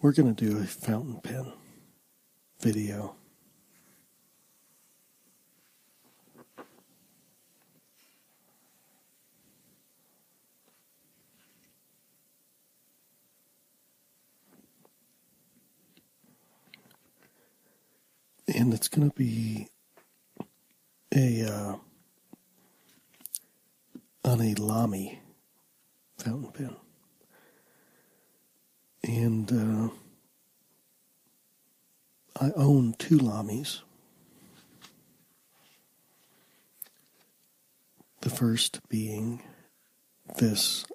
We're going to do a fountain pen video. And it's going to be a uh, on a Lamy fountain pen. And uh, I own two Lamies. The first being this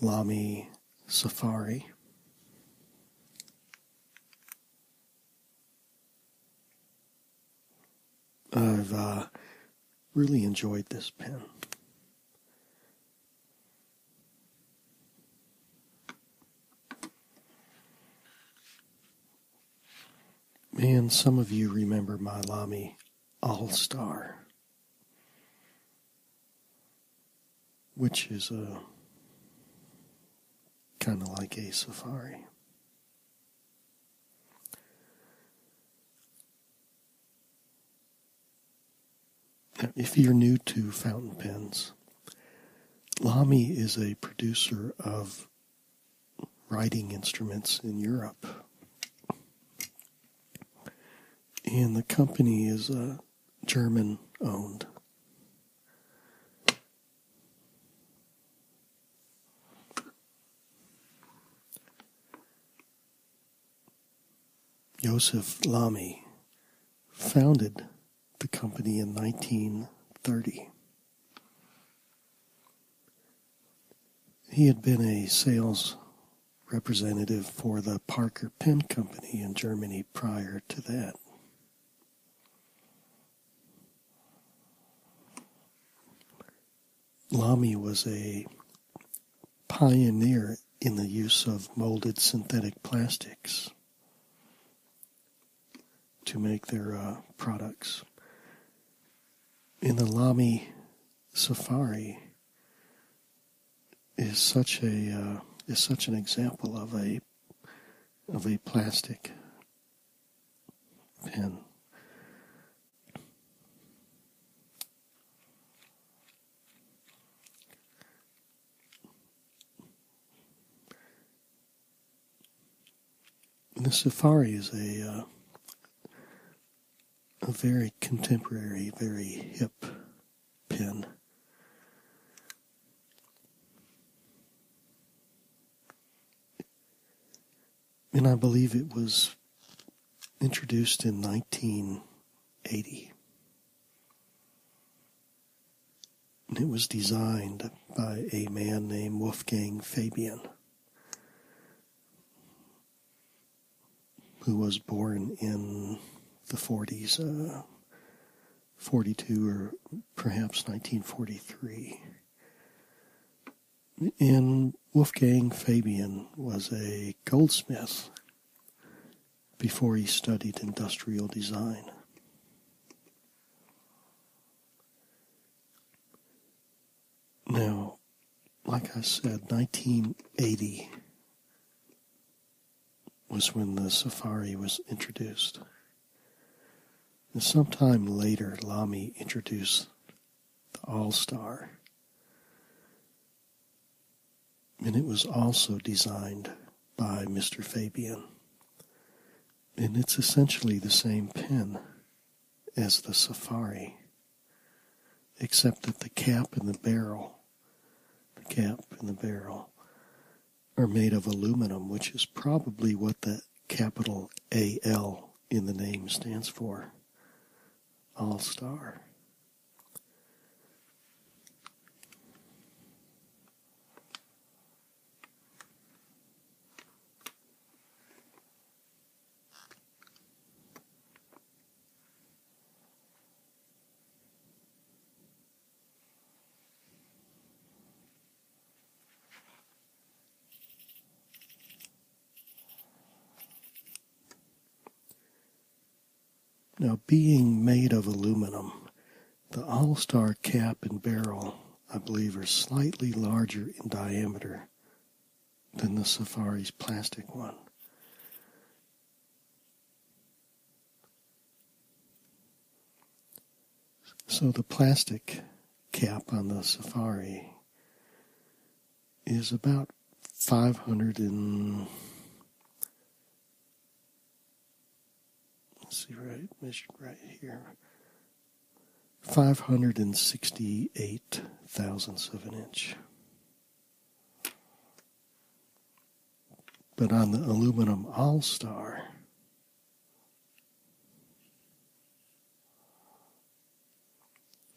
Lamy Safari. I've uh, really enjoyed this pen. Man, some of you remember my Lamy All Star, which is a kind of like a safari. If you're new to fountain pens, Lamy is a producer of writing instruments in Europe. And the company is uh, German owned. Joseph Lamy founded the company in 1930. He had been a sales representative for the Parker Pen Company in Germany prior to that. Lamy was a pioneer in the use of molded synthetic plastics to make their uh, products. In the Lamy Safari is such a uh, is such an example of a of a plastic Pen. the safari is a uh, a very contemporary, very hip pen. And I believe it was introduced in 1980. it was designed by a man named Wolfgang Fabian, who was born in the 40s, uh, 42 or perhaps 1943. In Wolfgang Fabian was a goldsmith before he studied industrial design. Now, like I said, 1980 was when the safari was introduced. And sometime later, Lamy introduced the All Star. And it was also designed by Mr. Fabian. And it's essentially the same pen as the Safari, except that the cap and the barrel, the cap and the barrel, are made of aluminum, which is probably what the capital AL in the name stands for All Star. Now, being made of aluminum, the All Star cap and barrel, I believe, are slightly larger in diameter than the Safari's plastic one. So the plastic cap on the Safari is about 500 and let's see right measured right here 568 thousandths of an inch but on the aluminum all star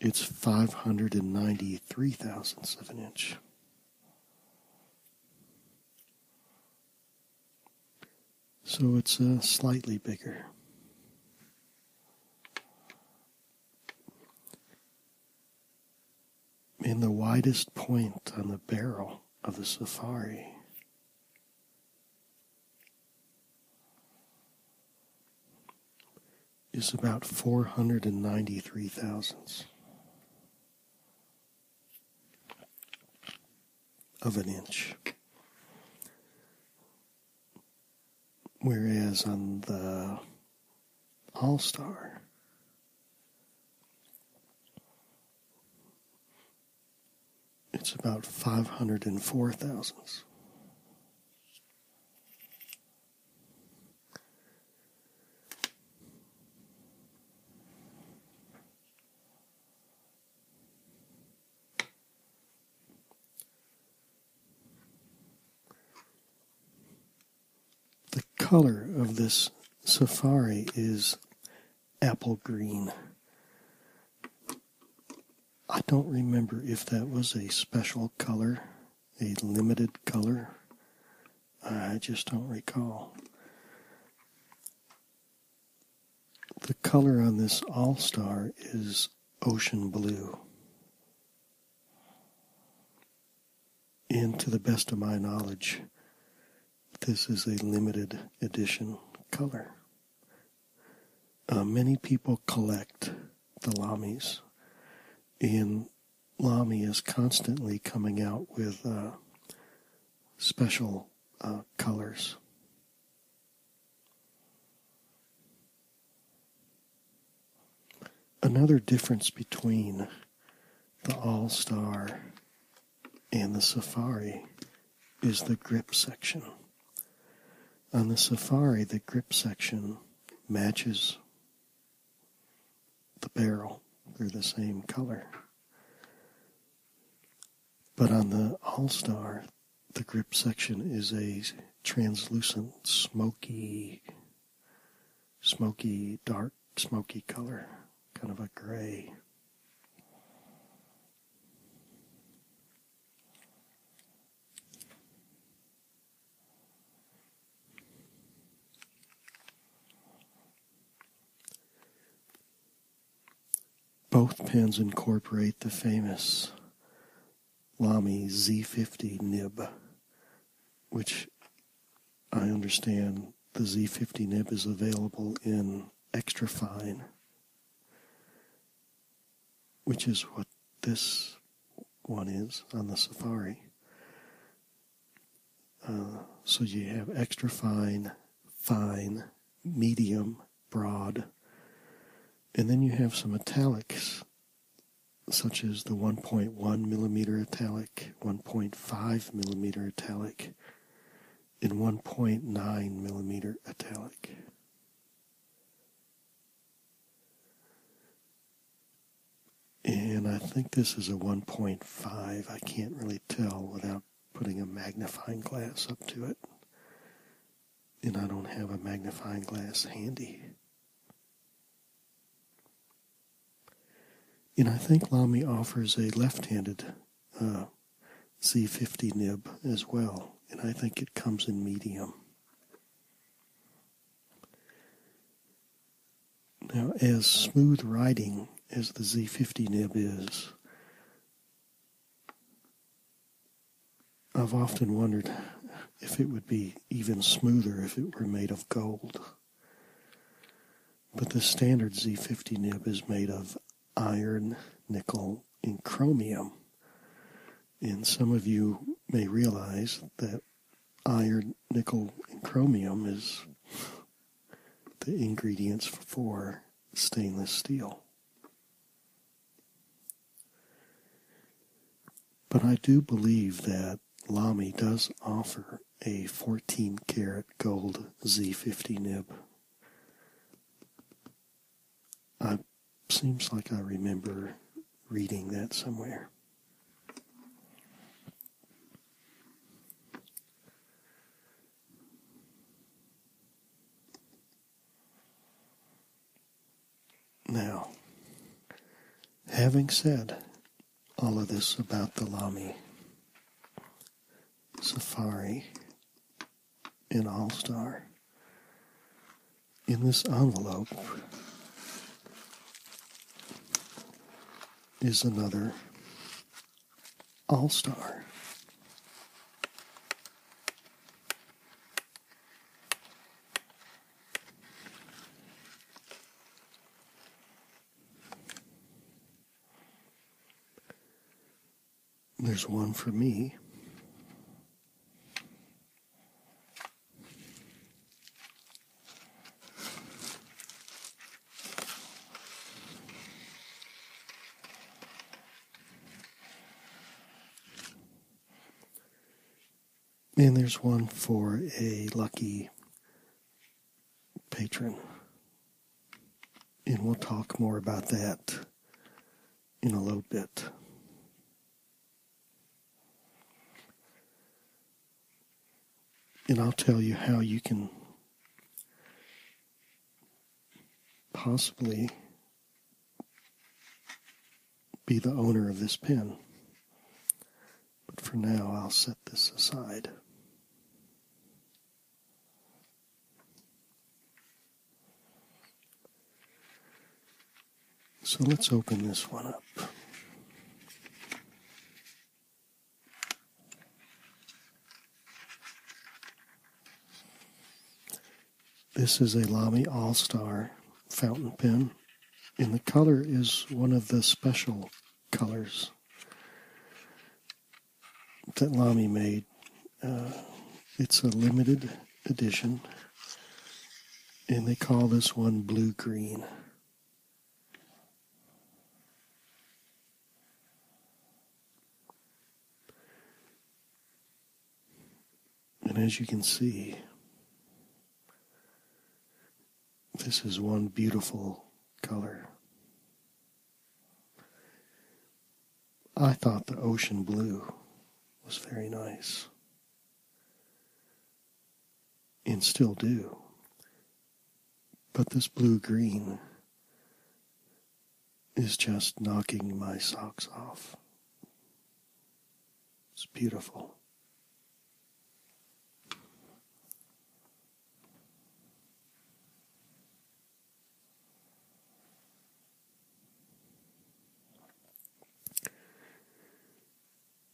it's 593 thousandths of an inch. So it's uh, slightly bigger. in the widest point on the barrel of the safari is about 493 thousandths of an inch. Whereas on the All Star, it's about 504 thousandths. The color of this safari is apple green. I don't remember if that was a special color, a limited color. I just don't recall. The color on this All Star is ocean blue. And to the best of my knowledge, this is a limited edition color. Uh, many people collect the Lamis, and Lamy is constantly coming out with uh, special uh, colors. Another difference between the All Star and the Safari is the grip section. On the Safari, the grip section matches the barrel. They're the same color. But on the All Star, the grip section is a translucent, smoky, smoky, dark, smoky color, kind of a gray. Both pens incorporate the famous Lamy Z50 nib, which I understand the Z50 nib is available in extra fine which is what this one is on the safari. Uh, so you have extra fine, fine, medium, broad, and then you have some italics, such as the 1.1 millimeter italic, 1.5 millimeter italic, in 1.9 millimeter italic. And I think this is a 1.5. I can't really tell without putting a magnifying glass up to it. And I don't have a magnifying glass handy. And I think Lamy offers a left handed uh, Z50 nib as well, and I think it comes in medium. Now, as smooth riding as the Z50 nib is, I've often wondered if it would be even smoother if it were made of gold. But the standard Z50 nib is made of iron, nickel, and chromium. And some of you may realize that iron, nickel, and chromium is the ingredients for stainless steel. But I do believe that Lamy does offer a 14 karat gold Z50 nib it seems like I remember reading that somewhere. Now, having said all of this about the Lami Safari an all star. In this envelope is another all star. There's one for me. And there's one for a lucky patron and we'll talk more about that in a little bit. And I'll tell you how you can possibly be the owner of this pen. But for now, I'll set this aside. So let's open this one up. This is a Lamy All Star fountain pen, and the color is one of the special colors that Lamy made. Uh, it's a limited edition, and they call this one blue green. And as you can see, this is one beautiful color. I thought the ocean blue was very nice and still do. But this blue green is just knocking my socks off. It's beautiful.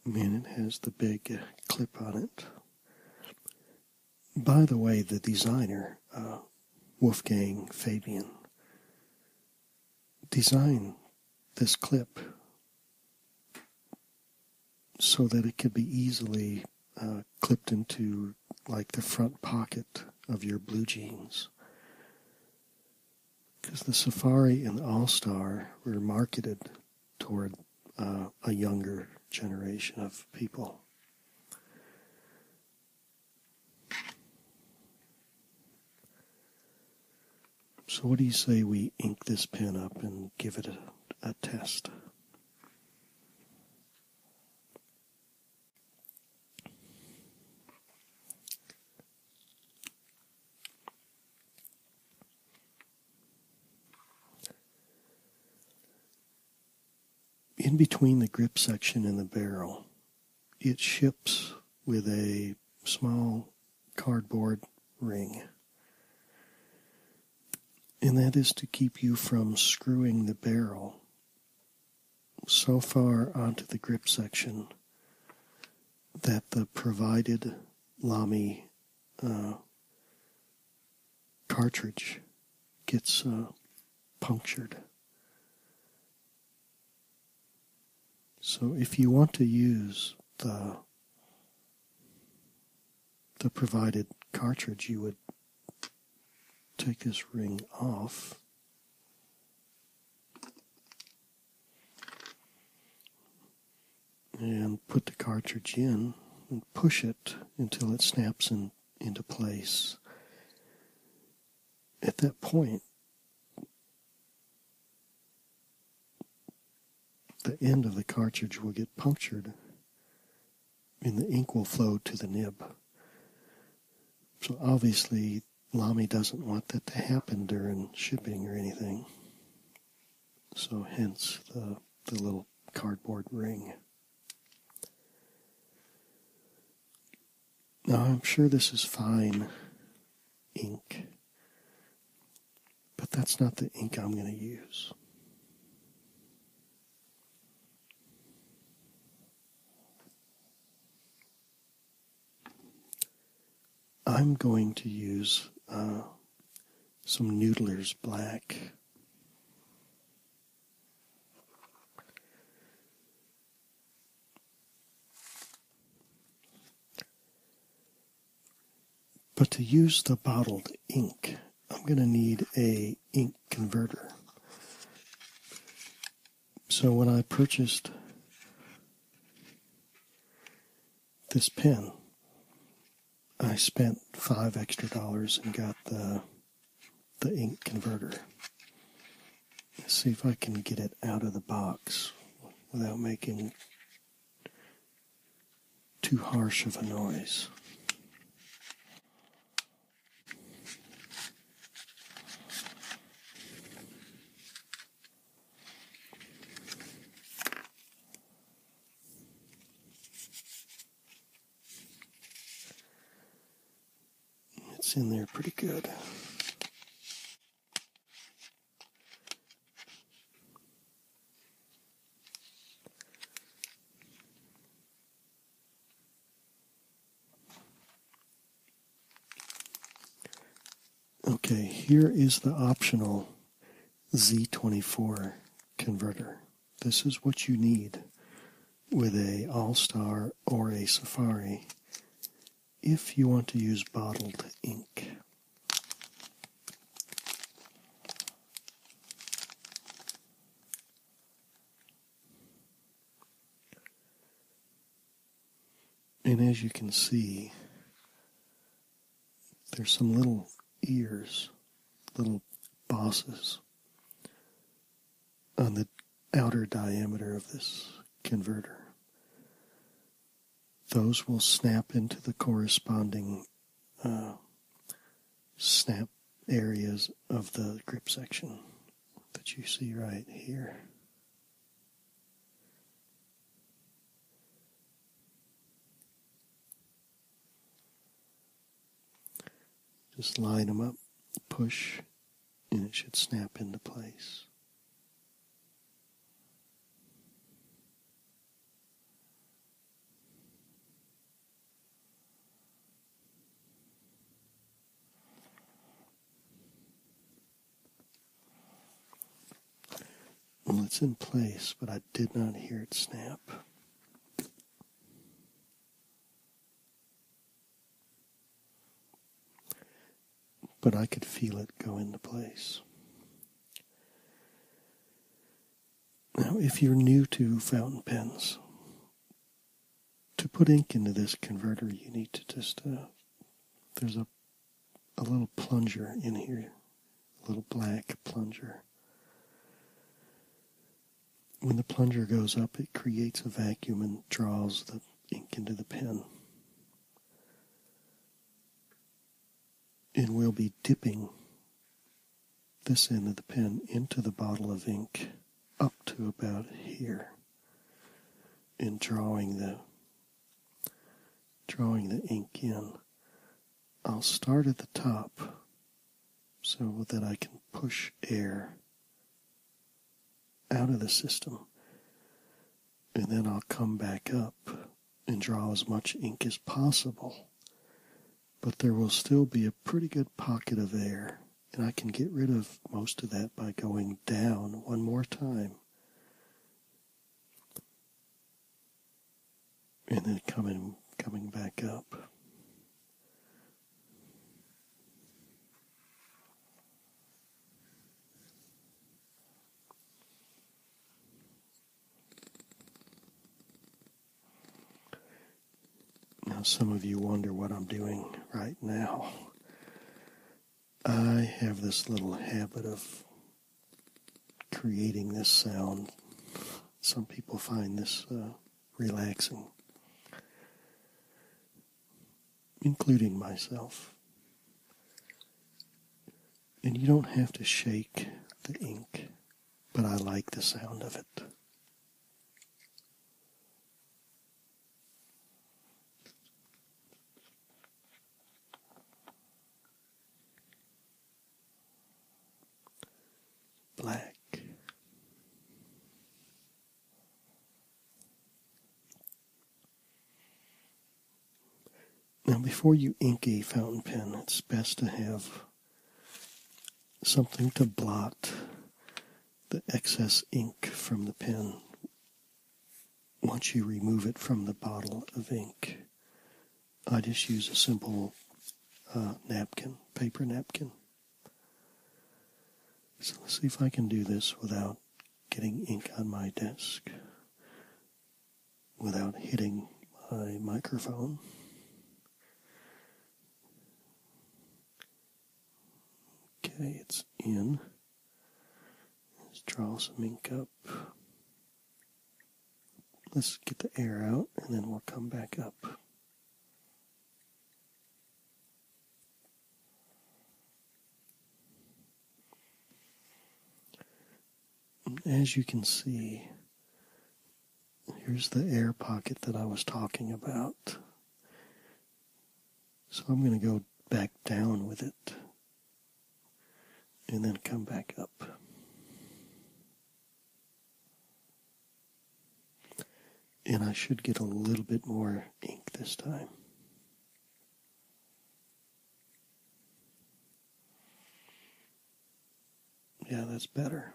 And it has the big clip on it. By the way, the designer, uh, Wolfgang Fabian, designed this clip so that it could be easily uh, clipped into like the front pocket of your blue jeans. Because the Safari and the All Star were marketed toward uh, a younger generation of people. So, what do you say we ink this pen up and give it a test? In between the grip section and the barrel, it ships with a small cardboard ring. And that is to keep you from screwing the barrel so far onto the grip section that the provided Lami uh, cartridge gets uh, punctured. So if you want to use the the provided cartridge, you would take this ring off and put the cartridge in and push it until it snaps in, into place. At that point, the end of the cartridge will get punctured and the ink will flow to the nib. So obviously, Lamy doesn't want that to happen during shipping or anything. So hence the, the little cardboard ring. Now I'm sure this is fine ink, but that's not the ink I'm going to use. I'm going to use uh, some Noodler's Black. But to use the bottled ink, I'm going to need a ink converter. So when I purchased this pen, I spent five extra dollars and got the the ink converter. see if I can get it out of the box without making too harsh of a noise. It's in there pretty good. Okay, here is the optional Z24 converter. This is what you need with a All-Star or a Safari if you want to use bottled ink. And as you can see, there's some little ears, little bosses on the outer diameter of this converter. Those will snap into the corresponding uh, snap areas of the grip section that you see right here. Just line them up, push, and it should snap into place. Well, it's in place, but I did not hear it snap. But I could feel it go into place. Now, if you're new to fountain pens, to put ink into this converter, you need to just, uh, there's a, a little plunger in here, a little black plunger. When the plunger goes up, it creates a vacuum and draws the ink into the pen. And we'll be dipping this end of the pen into the bottle of ink up to about here In drawing the drawing the ink in. I'll start at the top so that I can push air out of the system and then I'll come back up and draw as much ink as possible. But there will still be a pretty good pocket of air and I can get rid of most of that by going down one more time. And then coming coming back up. Now, some of you wonder what I'm doing right now. I have this little habit of creating this sound. Some people find this uh, relaxing, including myself. And you don't have to shake the ink, but I like the sound of it. Black. Now, before you ink a fountain pen, it's best to have something to blot the excess ink from the pen once you remove it from the bottle of ink. I just use a simple uh, napkin, paper napkin. So let's see if I can do this without getting ink on my desk, without hitting my microphone. Okay, it's in. Let's draw some ink up. Let's get the air out and then we'll come back up. As you can see, here's the air pocket that I was talking about. So I'm going to go back down with it and then come back up. And I should get a little bit more ink this time. Yeah, that's better.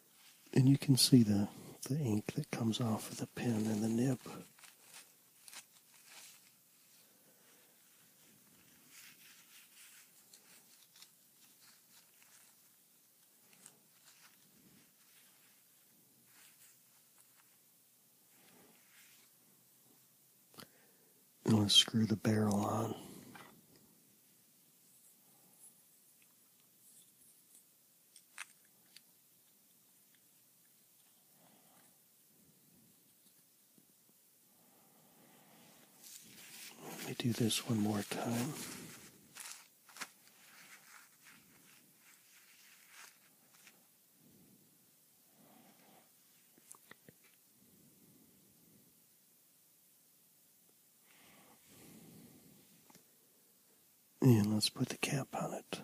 and you can see the the ink that comes off of the pen and the nib. let's screw the barrel on. Let me do this one more time. And let's put the cap on it.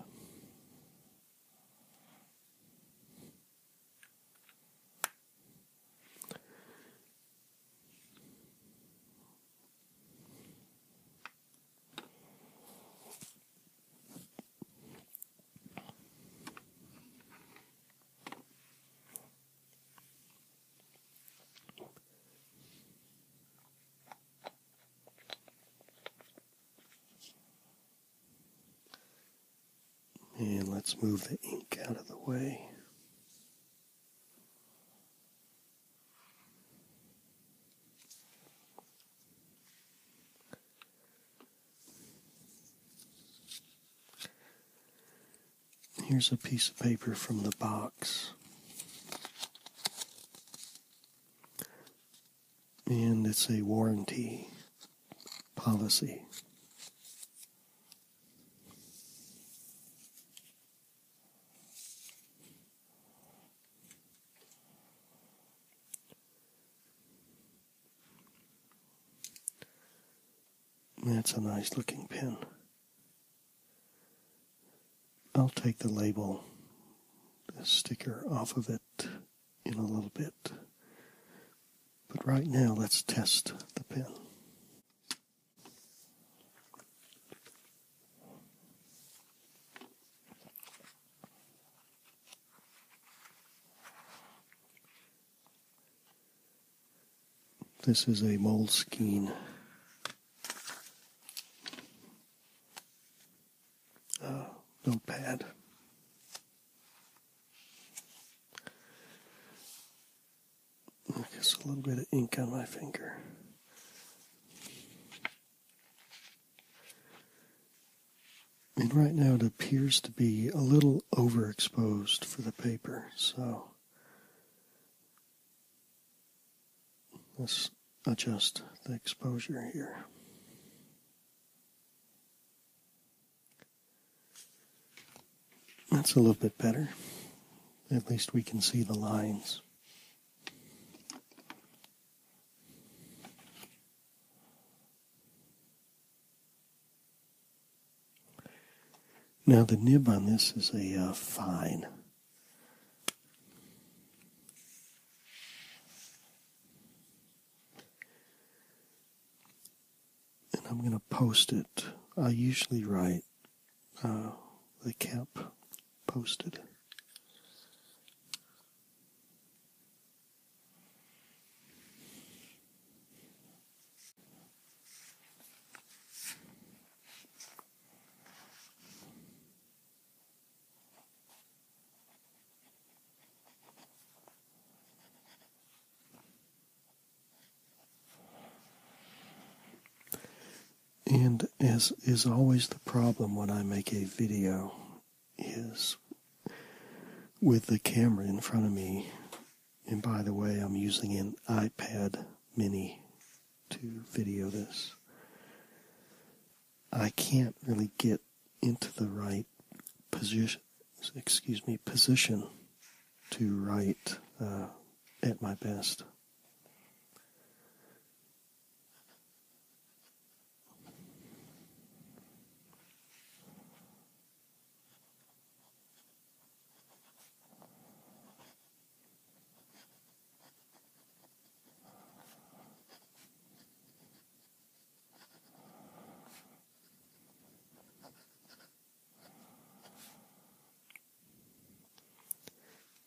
And let's move the ink out of the way. Here's a piece of paper from the box. And it's a warranty policy. That's a nice looking pen. I'll take the label the sticker off of it in a little bit. But right now, let's test the pen. This is a Moleskine uh, oh, notepad. I guess a little bit of ink on my finger. And right now it appears to be a little overexposed for the paper, so Let's adjust the exposure here. That's a little bit better. At least we can see the lines. Now the nib on this is a uh, fine. And I'm going to post it. I usually write uh, the camp posted. And as is always the problem when I make a video is with the camera in front of me. And by the way, I'm using an iPad mini to video this. I can't really get into the right position, excuse me, position to write uh, at my best.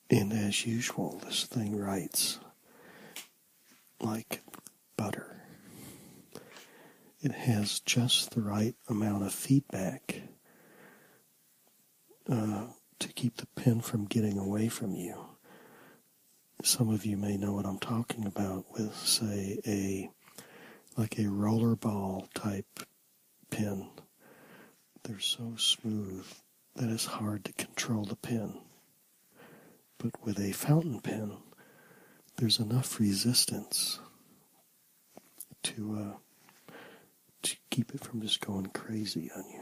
And as usual, this thing writes like butter. It has just the right amount of feedback uh, to keep the pen from getting away from you. Some of you may know what I'm talking about with, say, a like a rollerball type pen. They're so smooth that it's hard to control the pen. But with a fountain pen, there's enough resistance to uh, to keep it from just going crazy on you.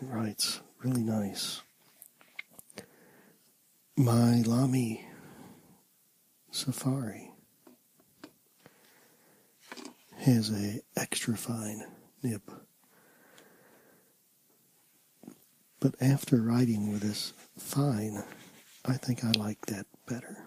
Right, really nice. My Lami Safari has a extra fine nib but after writing with this fine, I think I like that better.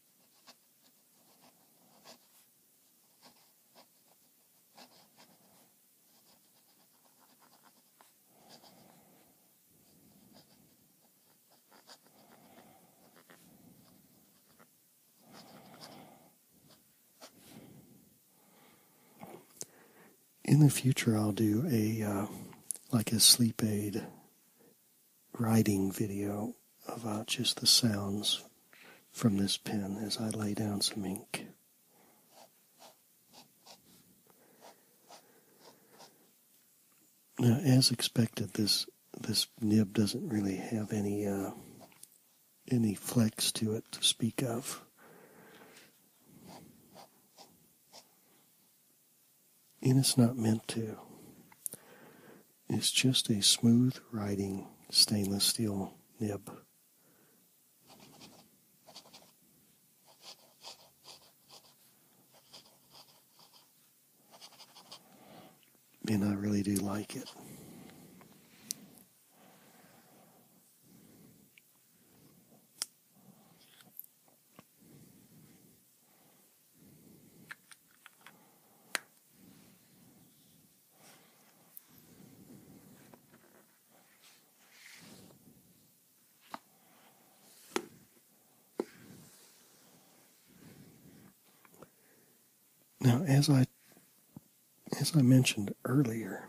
In the future, I'll do a uh, like a sleep aid writing video about uh, just the sounds from this pen as I lay down some ink. Now, as expected, this this nib doesn't really have any uh, any flex to it to speak of and it's not meant to. It's just a smooth riding stainless steel nib. And I really do like it. Now, as I as I mentioned earlier,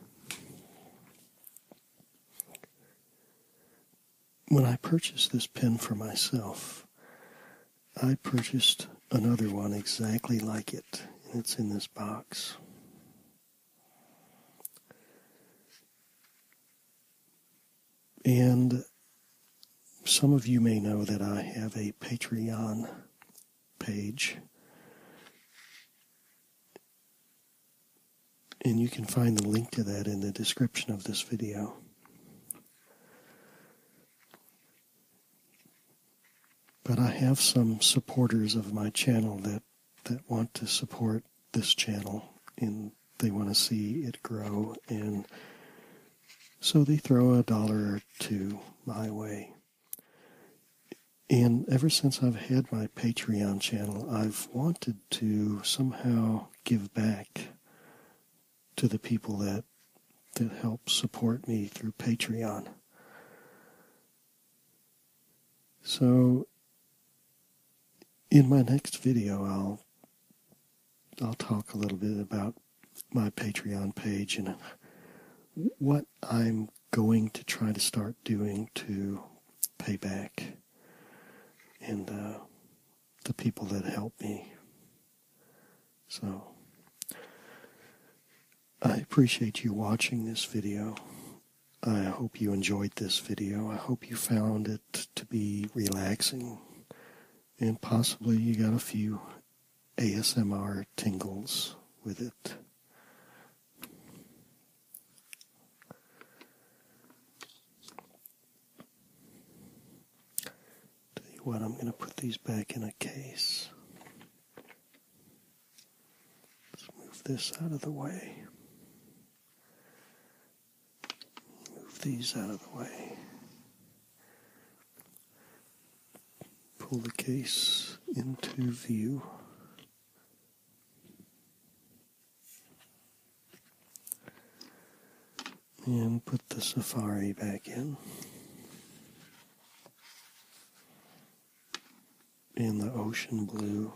when I purchased this pen for myself, I purchased another one exactly like it, and it's in this box. And some of you may know that I have a Patreon page. And you can find the link to that in the description of this video. But I have some supporters of my channel that, that want to support this channel and they want to see it grow and so they throw a dollar or two my way. And ever since I've had my Patreon channel, I've wanted to somehow give back to the people that that help support me through Patreon. So in my next video I'll I'll talk a little bit about my Patreon page and what I'm going to try to start doing to pay back and uh, the people that help me. So, I appreciate you watching this video. I hope you enjoyed this video. I hope you found it to be relaxing and possibly you got a few ASMR tingles with it. Tell you what, I'm going to put these back in a case. Let's move this out of the way. Move these out of the way. Pull the case into view and put the safari back in. And the ocean blue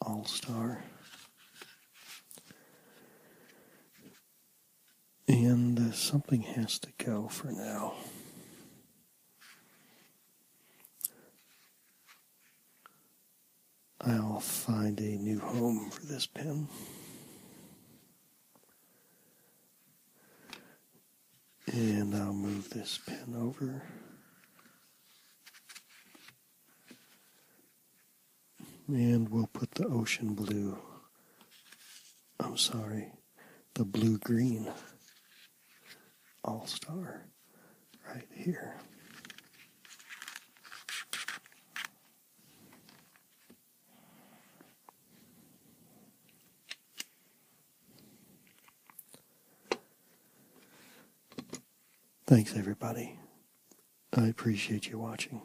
all star. And uh, something has to go for now. I'll find a new home for this pen. And I'll move this pen over. And we'll put the ocean blue. I'm sorry, the blue green all star right here. Thanks, everybody. I appreciate you watching.